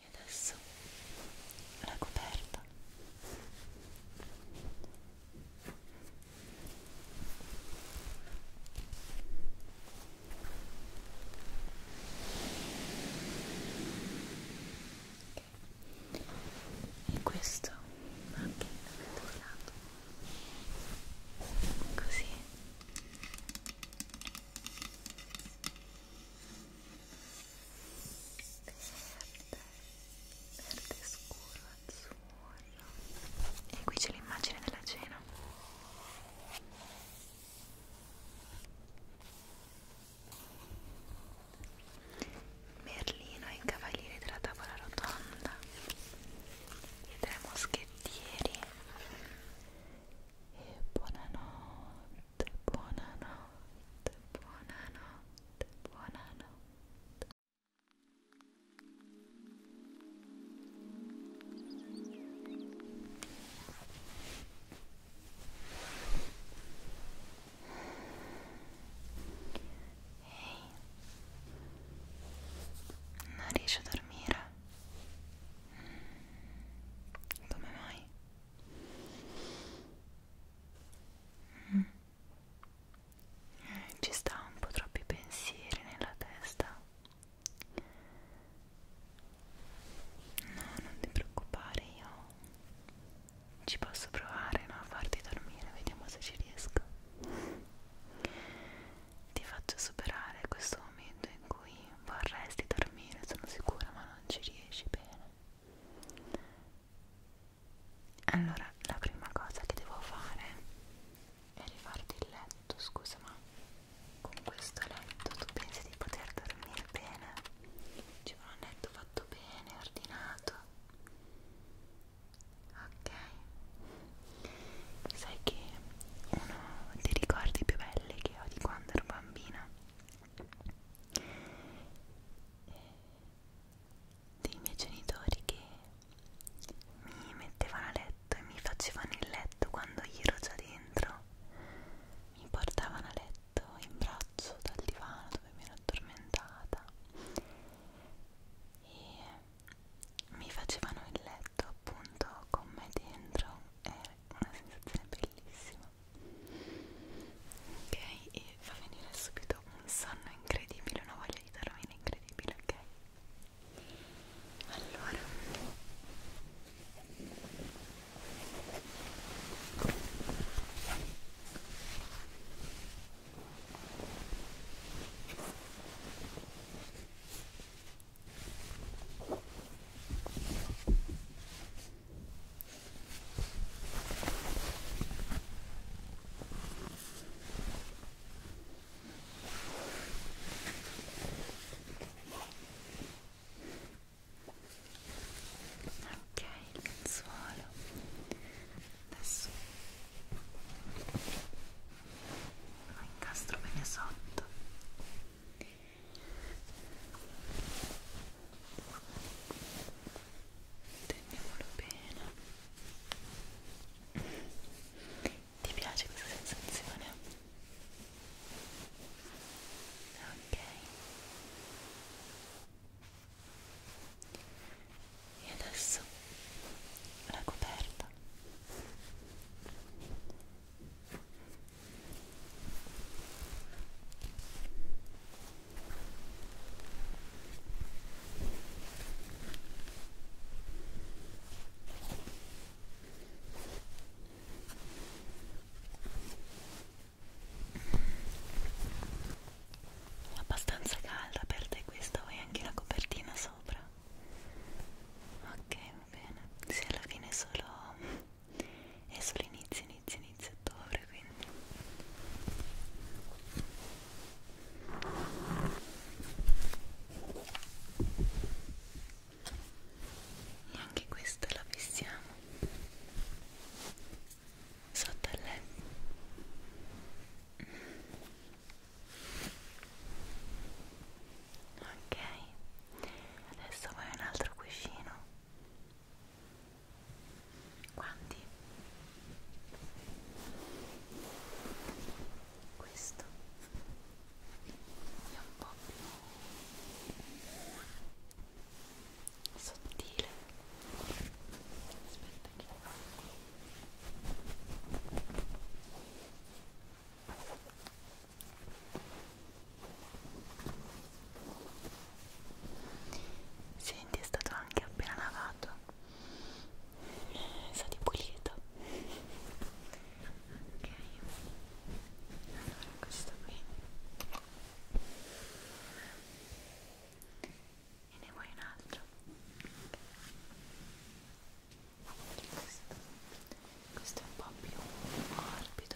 E adesso la coperta. Okay. E questo anche ventilato così verde, verde scuro, azzurro e qui c'è l'immagine della cena Merlino e i cavalieri della tavola rotonda i tre moschettieri e buonanotte buonanotte, buonanotte, buonanotte. Ehi, non riesci a dormire? Mm. Come mai? Mm. Ci sta un po' troppi pensieri nella testa. No, non ti preoccupare, io ci posso provare no, a farti dormire, vediamo se ci riesco. Ti faccio superare questo momento in cui vorresti dormire, sono sicura, ma non ci riesci bene allora la prima cosa che devo fare è rifarti il letto scusa ma con questo letto tu pensi di poter dormire bene ci vuole un letto fatto bene ordinato ok sai che uno dei ricordi più belli che ho di quando ero bambina dei miei genitori che mi mettevano a letto e mi facevano il letto quando io ero già dentro mi portavano a letto in braccio dal divano dove mi ero addormentata e mi facevano il letto appunto con me dentro è una sensazione bellissima ok e fa venire subito un sonno incredibile una voglia di dormire incredibile ok allora ok Ok, il lenzuolo adesso lo incastro bene sotto teniamolo bene ti piace questa sensazione? ok e adesso la coperta è abbastanza calda per te questa, vuoi anche la copertina sopra? Ok, va bene. Sì, alla fine è solo è solo inizio, inizio, inizio ottobre quindi e anche questa la fissiamo sotto al letto ok adesso vuoi un altro cuscino quanti? Questo è un po' più sottile. Aspetta che lo faccio. Senti, è stato anche appena lavato. Sa di pulito. Ok. Allora, questo qui. E ne vuoi un altro? Okay. Questo. questo è un po' più morbido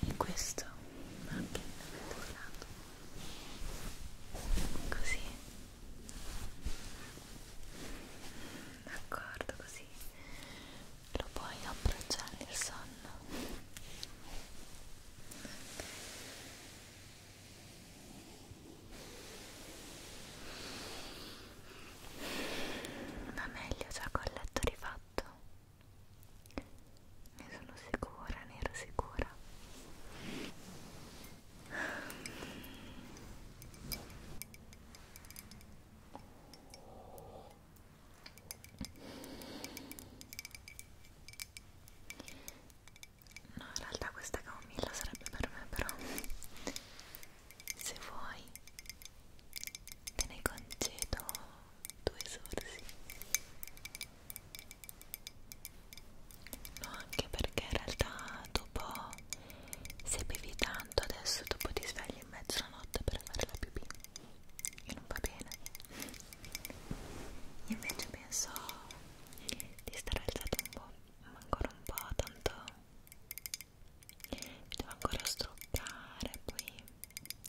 e questo anche dal lato così d'accordo così lo puoi approcciare il sonno va meglio già col letto rifatto ne sono sicura, ne ero sicura. No, in realtà questa camomilla sarebbe per me, però se vuoi te ne concedo due sorsi no anche perché in realtà dopo se bevi tanto adesso dopo ti svegli in mezzo alla notte per fare la pipì e non va bene Io invece penso di stare alzato un po' ma ancora un po' tanto mi devo ancora struccare poi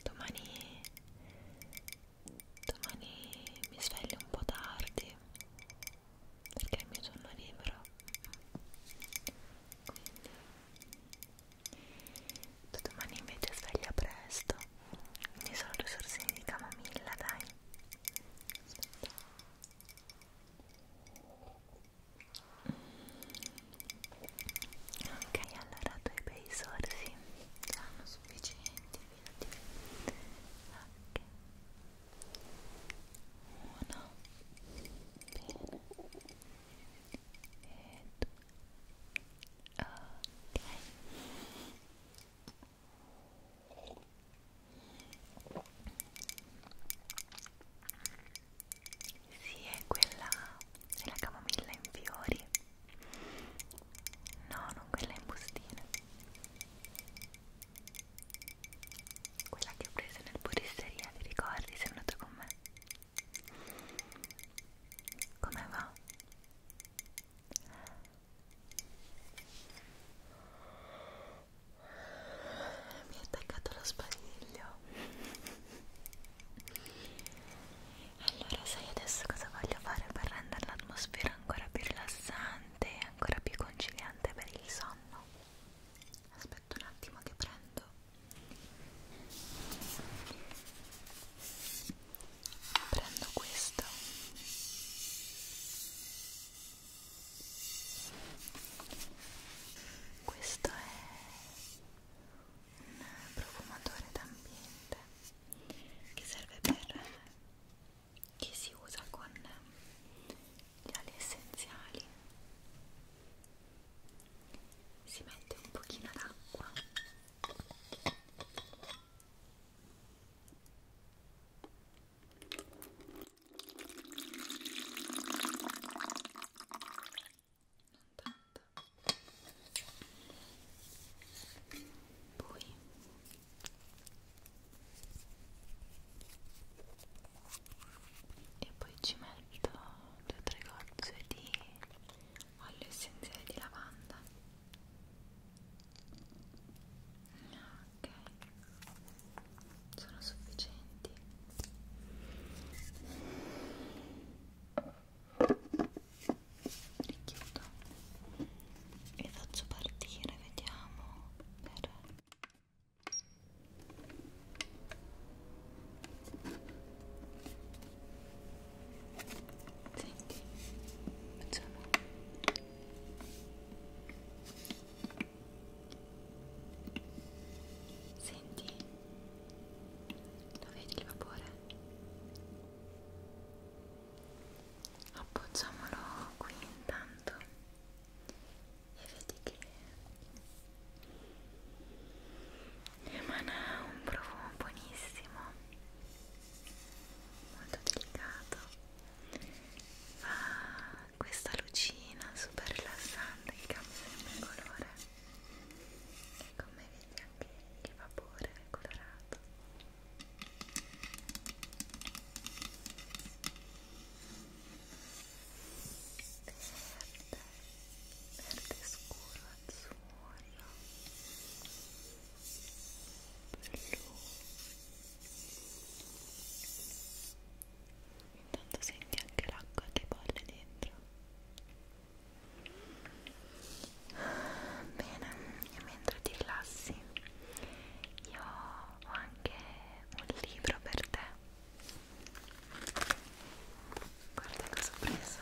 domani domani mi sveglio un po' tardi perché è il mio giorno libero quindi tu domani invece sveglia presto quindi sono due sorsini di camomilla dai Aspetta ok allora due bei sorsi saranno sufficienti ok uno bene e due ok sì, è quella della camomilla in fiori No, non quella in bustina. Quella che ho preso nel purisseria, vi ricordi? Sei andato con me. Come va? Mi ha attaccato lo spadiglio allora sai adesso cosa voglio fare per rendere l'atmosfera ancora più rilassante e ancora più conciliante per il sonno? Aspetta un attimo che prendo Prendo questo questo è un profumatore d'ambiente che serve per che si usa con gli oli essenziali si mette un pochino d'acqua non tanta poi e poi ci metto due o tre gocce di olio essenziale di lavanda ok sono sufficienti richiudo e faccio partire vediamo per senti facciamo senti lo vedi il vapore appoggiamolo qui intanto e vedi che emana un profumo buonissimo molto delicato fa questa lucina super rilassante che cambia sempre il colore e come vedi anche il vapore è colorato verde verde scuro azzurro blu intanto senti anche l'acqua che bolle dentro Bene, e mentre ti rilassi, io ho anche un libro per te. Guarda cosa ho preso.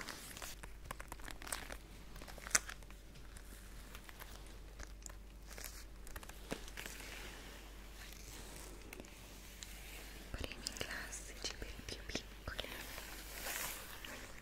Primi classici per i più piccoli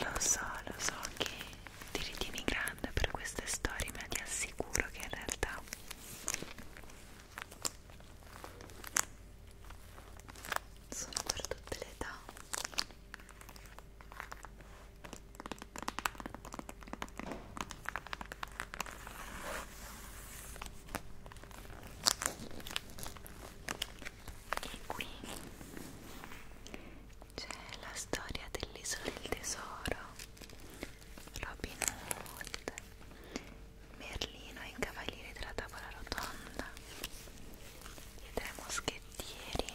Lo so, lo so che ti ritieni grande per queste storie, ma ti assicuro che in realtà sono per tutte le età e qui c'è la storia dell'isola del tesoro Robin Hood Merlino e i cavalieri della tavola rotonda i tre moschettieri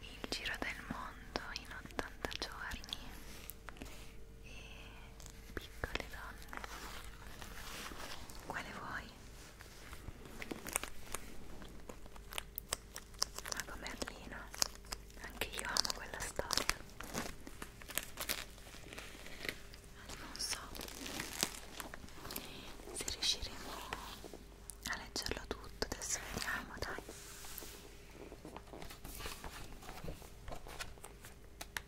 il giro del mondo in 80 giorni e piccole donne quale vuoi? ma con Merlino anche io amo quella storia non so se riusciremo a leggerlo tutto adesso vediamo dai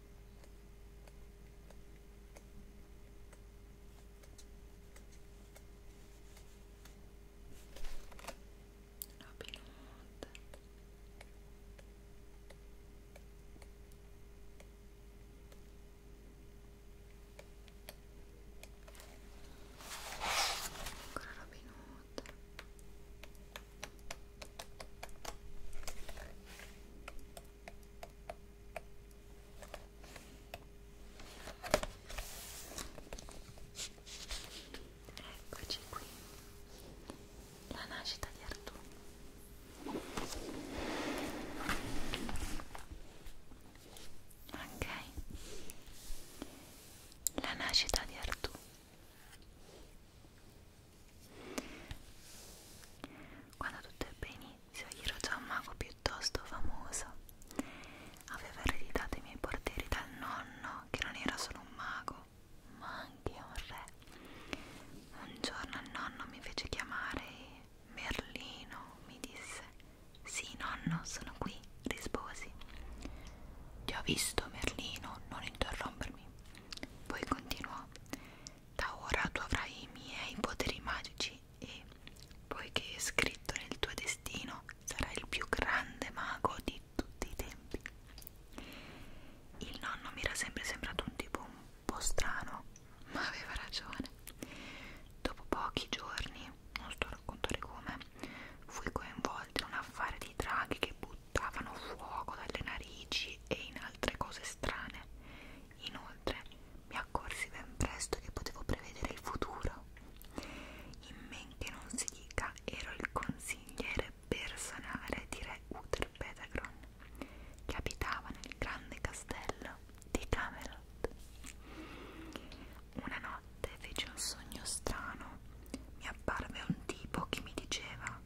Robin Hood ancora Robin Hood Eccoci qui, la nascita di Artù. Ok, la nascita di Artù. Quando tutto è benissimo all'inizio ero già un mago piuttosto famoso. Aveva ereditato i miei portieri dal nonno, che non era solo un mago, ma anche un re. Un giorno il nonno mi fece chiamare Merlino, mi disse. Sì, nonno, sono qui, risposi. Ti ho visto, Merlino, non interrompermi. Poi continuò. Da ora tu avrai i miei poteri magici e, poiché è scritto nel tuo destino, sarai il più grande mago di tutti i tempi. Il nonno mi era sempre sembrato un tipo un po' strano, ma aveva ragione. Dopo pochi giorni, non sto a raccontare come, fui coinvolto in un affare di draghi che buttavano fuoco dalle narici e in altre cose strane. Inoltre, mi accorsi ben presto che potevo prevedere il futuro. In men che non si dica, ero il consigliere personale di Re Uther Pedagron, che abitava nel grande castello di Camelot. Una notte feci un sogno strano. Mi apparve un tipo che mi diceva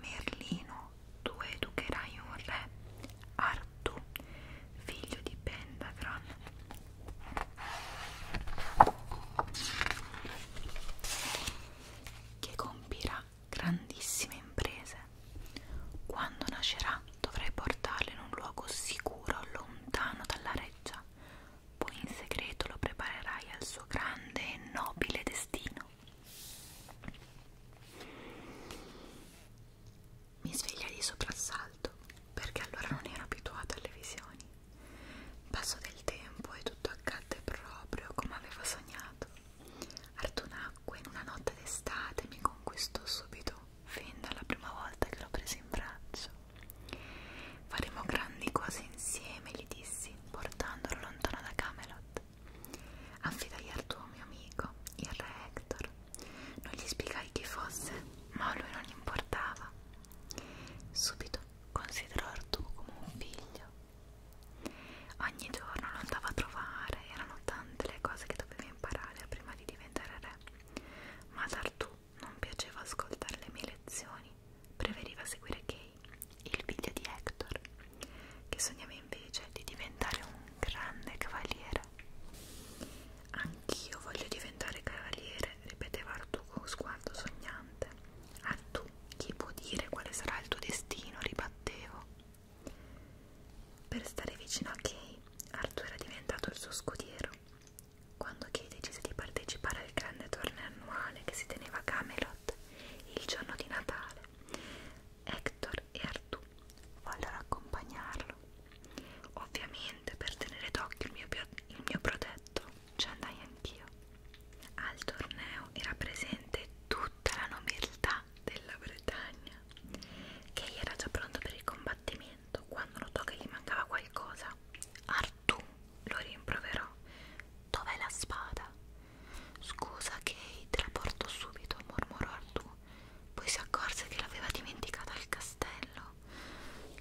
Merlino tu educherai un re, Artù, figlio di Pentagron. Che compirà grandissime imprese. Quando nascerà dovrai portarlo in un luogo sicuro, lontano dalla reggia. Poi in segreto lo preparerai al suo grande e nobile destino mi sveglia di soprassalto perché allora non ero abituata alle visioni. Passò del tempo e tutto accadde proprio come avevo sognato. Artù nacque in una notte d'estate mi conquistò subito, fin dalla prima volta che l'ho preso in braccio. Faremo grandi cose insieme, gli dissi, portandolo lontano da Camelot. Affidai al tuo mio amico, il re Hector. Non gli spiegai chi fosse, ma a lui non importava. Subito considerò Artù come un figlio. Ogni giorno lo andava a trovare, erano tante le cose che doveva imparare prima di diventare re, ma ad Artù non piaceva ascoltare le mie lezioni, preferiva seguire Kay, il figlio di Hector, che sognava invece di diventare un grande cavaliere cavaliere. Anch'io voglio diventare cavaliere, ripeteva Artù con sguardo sognante. Artù, chi può dire quale sarà il tuo destino? ribattevo. Per stare vicino a Kay, Artù era diventato il suo scudiero. Quando Kay decise di partecipare al grande torneo annuale che si teneva a Camelot il giorno di Natale, Hector e Artù vollero accompagnarlo. Ovviamente per tenere d'occhio il mio, il mio protetto ci andai anch'io. Al torneo era presente tutta la nobiltà della Bretagna. Kay era già pronto per il combattimento quando notò che gli mancava qualcosa. Artù lo rimproverò. Dov'è la spada? Scusa Kay, te la porto subito, mormorò Artù. Poi si accorse che l'aveva dimenticata al castello.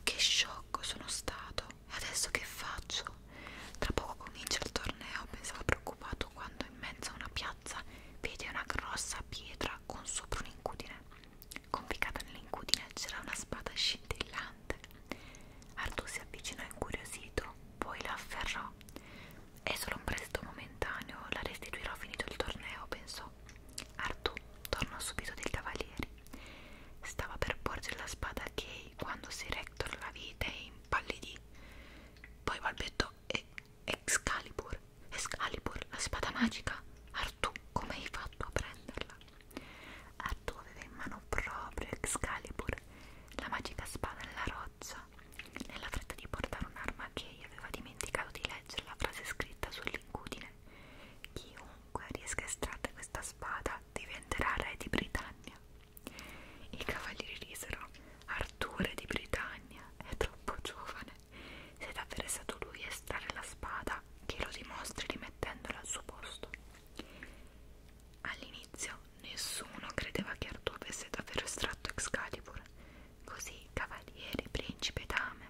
Che sciocco sono stato! E adesso che faccio? Tra poco comincia il torneo, pensava preoccupato quando in mezzo a una piazza vede una grossa pietra con sopra un'incudine. Conficcata nell'incudine c'era una spada scintillante. Artù si avvicinò incuriosito, poi la afferrò. È solo un prestito momentaneo, la restituirò finito il torneo, pensò. Artù tornò subito dai cavalieri. Stava per porgere la spada a Kay quando si Rector la vide e impallidì. Poi balbettò e Excalibur, Excalibur, la spada magica. Artù, come hai fatto a prenderla? Artù aveva in mano proprio Excalibur, la magica spada nella roccia casa. Nella fretta di portare un'arma, Kay aveva dimenticato di leggere la frase scritta sull'incudine: Chiunque riesca a estrarre questa spada diventerà re di Britannia. I cavalieri risero: Arturo di Britannia è troppo giovane. Se davvero è stato lui a estrarre la spada, che lo dimostri rimettendola al suo posto. All'inizio nessuno credeva che Arturo avesse davvero estratto Excalibur, Così cavaliere, principe e dame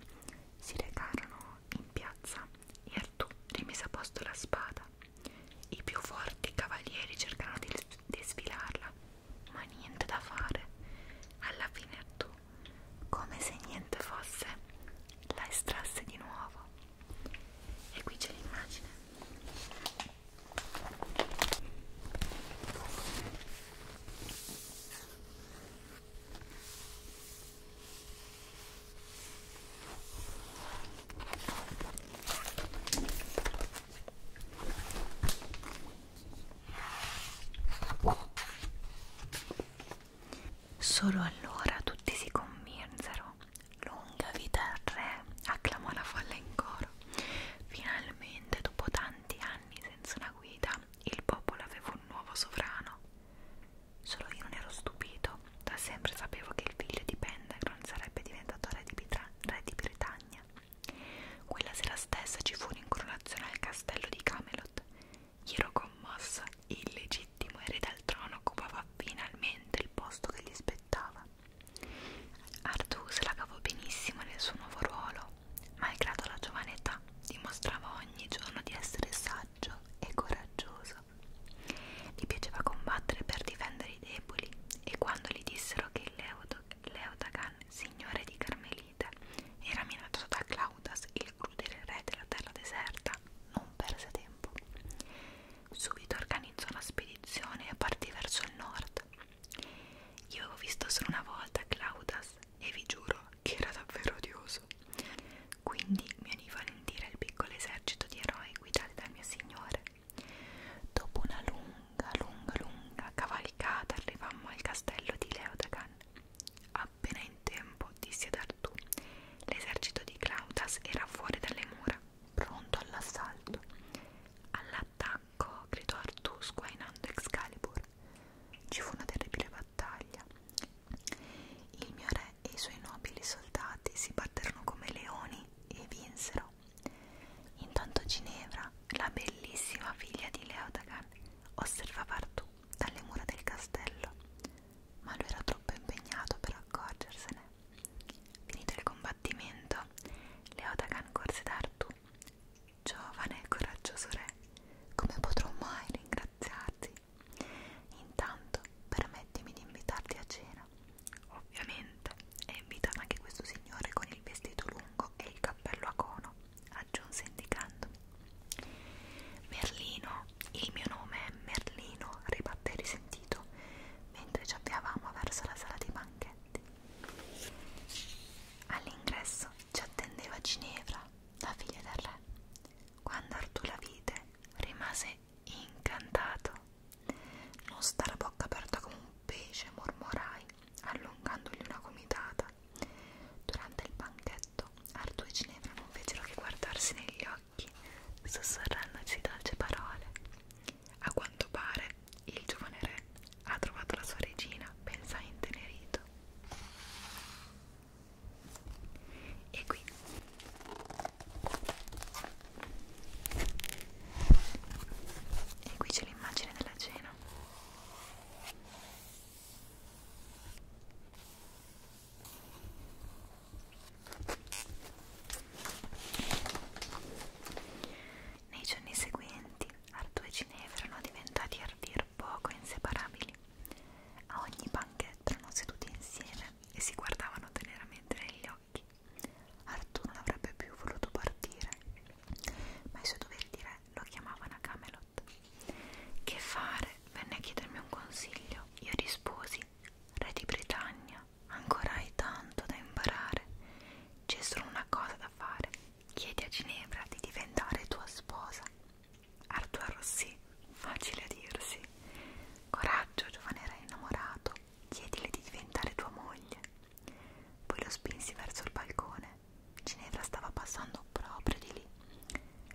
si recarono in piazza e Artù rimise a posto la spada. I più forti cavalieri cercarono di, di sfilarla, ma niente da fare. Alla fine Artù, come se niente fosse, la estrasse di nuovo. E qui c'è l'immagine. Solo allora tutti si convinsero. Lunga vita al re, acclamò la folla in coro. Finalmente, dopo tanti anni senza una guida, città il popolo aveva un nuovo sovrano. Solo io non ero stupito, da sempre sapevo che il figlio di Pendegron sarebbe diventato re di, Bitra re di Britannia. Quella sera stessa ci fu un'incoronazione al castello di Camelot. Io ero commossa, il legittimo erede al trono occupava finalmente il posto che gli spettava. Artù se la cavò benissimo nel suo nuovo ruolo. Malgrado la giovane età, dimostrava ogni giorno di essere saggio e coraggioso. Gli piaceva combattere per difendere i deboli e quando gli dissero che Leodagan, signore di Carmelite, era minacciato da Claudas, il crudele re della terra deserta, non perse tempo. Subito organizzò una spedizione e partì verso il nord. Io avevo visto solo una volta Claudas e vi giuro che era davvero odioso. Quindi mi unì valentire al piccolo esercito di eroi guidati dal mio signore. Dopo una lunga, lunga, lunga cavalcata arrivammo al castello di Leodagan. Appena in tempo, disse ad Artù, l'esercito di Claudas era fuori dalle mura, pronto all'assalto. All'attacco, gridò Artù sguainando Excalibur. Ci fu una terribile battaglia. Il mio re e i suoi nobili soldati si batterono come leoni e vinsero. Intanto Ginevra, la bellissima figlia di Leodagan, osservava Artù dalle mura del castello, ma lui era troppo impegnato per accorgersene. Finito il combattimento, Leodagan corse da Artù giovane e coraggioso re, come potrò mai ringraziarti? Intanto permettimi di invitarti a cena. Ovviamente è invitato anche questo signore con il vestito lungo e il cappello a cono, aggiunse indicandomi. Merlino, il mio nome è Merlino, ribatte risentito, mentre ci avviavamo verso la sala dei banchetti. All'ingresso ci attendeva Ginevra, la figlia del re. Quando Artù la vide, rimase incantato. Non stare a bocca aperta come un pesce, mormorai, allungandogli una gomitata. Durante il banchetto, Artù e Ginevra non fecero che guardarsi negli occhi, sussurrandosi dolce parole. A quanto pare, il giovane re ha trovato la sua regina, pensai intenerito. E qui e qui c'è l'immagine della cena. Nei giorni seguenti Artù e Ginevra erano diventati a dir poco inseparabili. A ogni banchetto erano seduti insieme e si guardavano teneramente negli occhi. Artù non avrebbe più voluto partire, ma i suoi doveri di re lo chiamavano a Camelot. Che fare? Venne a chiedermi un consiglio. Io risposi: Re di Britannia, ancora hai tanto da imparare. C'è solo una cosa da fare, Chiedi a Ginevra di diventare tua sposa. Arthur sì, facile a dirsi. Coraggio, giovane re innamorato, chiedile di diventare tua moglie. Poi lo spinsi verso il balcone. Ginevra stava passando proprio di lì.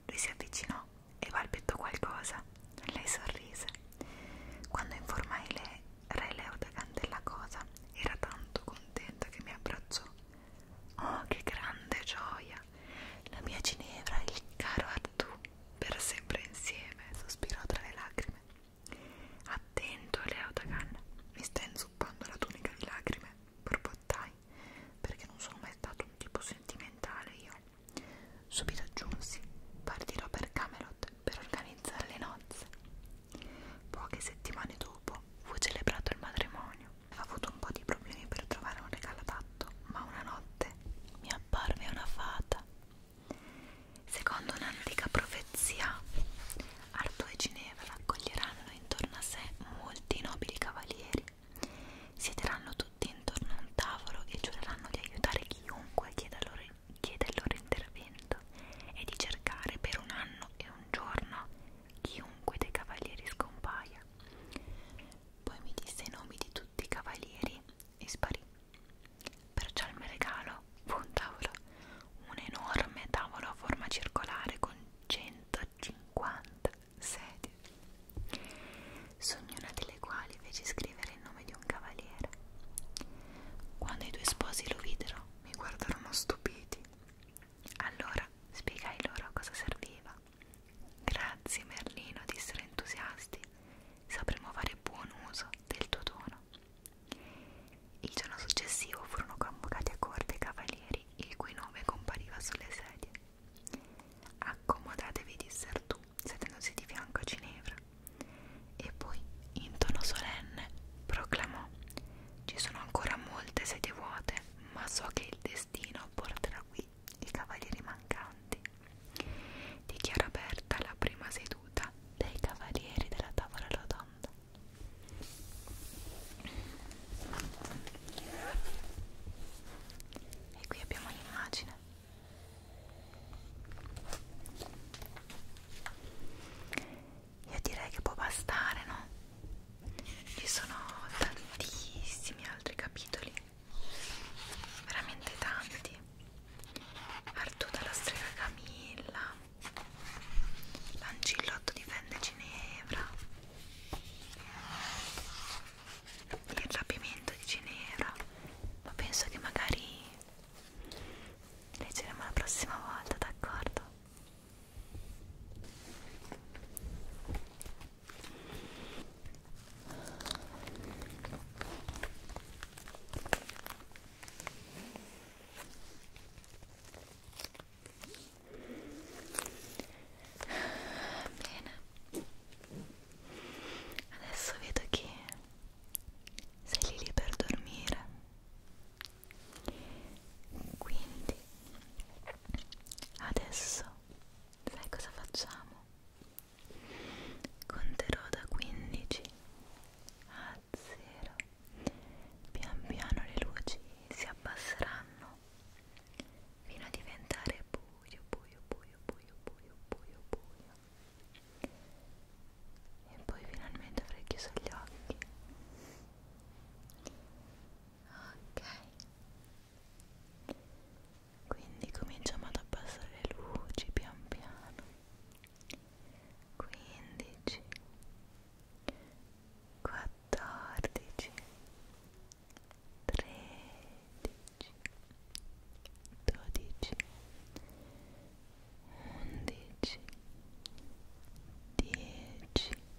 Lui si avvicinò e balbettò qualcosa. Lei sorrise. Quando informai le re Leuda Cantellacosa, era tanto contenta che mi abbracciò. Oh, che grande gioia! La mia Ginevra e il caro Artù, per sempre insieme, sospirò tra le lacrime. Attento, Leotagan, mi sta inzuppando la tunica di lacrime, borbottai, perché non sono mai stato un tipo sentimentale io. Subito aggiunsi, partirò per Camelot per organizzare le nozze. Poche settimane dopo fu celebrato il matrimonio ha avuto un po' di problemi per trovare un regalo adatto, ma una notte mi apparve una fata. Secondo un'antica profezia, Artù e Ginevra accoglieranno intorno a sé molti nobili cavalieri. Siederanno tutti intorno a un tavolo e giureranno di aiutare chiunque chieda, loro, chieda il loro intervento e di cercare per un anno e un giorno chiunque dei cavalieri scompaia. Poi mi disse i nomi di tutti i cavalieri e sparì. Perciò il mio regalo fu un tavolo, un enorme tavolo a forma circolare con 150 sedie, su ognuna delle quali fece scrivere il nome di un cavaliere. Quando i due sposi lo videro, mi guardarono stupiti allora spiegai loro a cosa serviva. Grazie Merlino, dissero entusiasti, sapremo fare buon uso del tuo dono. Il giorno successivo furono convocati a corte i cavalieri, il cui nome compariva sulle sedie. Accomodatevi, dissero tu, sedendosi di fianco a Ginevra. E poi, in tono solenne, proclamò ci sono ancora molte sedie vuote, ma so che il destino porterà qui i cavalieri mancanti. Dichiara aperta la prima seduta dei cavalieri della tavola rotonda. E qui abbiamo un'immagine io direi che può bastare no ci sono tantissimi altri capitoli veramente tanti Artù dalla strega Camilla Lancillotto difende Ginevra il rapimento di Ginevra ma penso che magari leggeremo la prossima volta d'accordo Bene, adesso vedo che sei lì per dormire quindi adesso sai cosa facciamo? conterò da 15 a 0 pian piano le luci si abbasseranno fino a diventare buio buio buio buio buio buio buio e poi finalmente avrei chiuso gli occhi ok quindi cominciamo ad abbassare le luci pian piano 15 14 13 12 11 10 9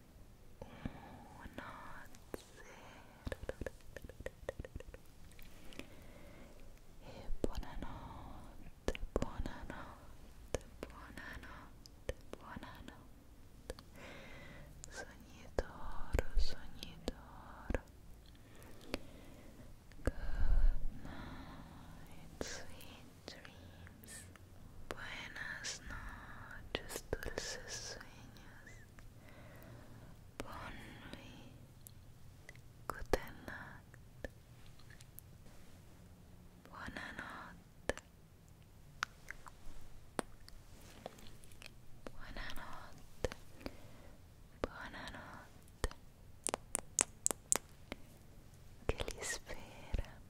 e buonanotte, buonanotte, buonanotte, buonanotte sogni d'oro, sogni d'oro good night, sweet dreams Buenas noches, dulces sueños. Bon nuit. Guten Nacht. Buonanotte. Buonanotte. Buonanotte. Che li spera.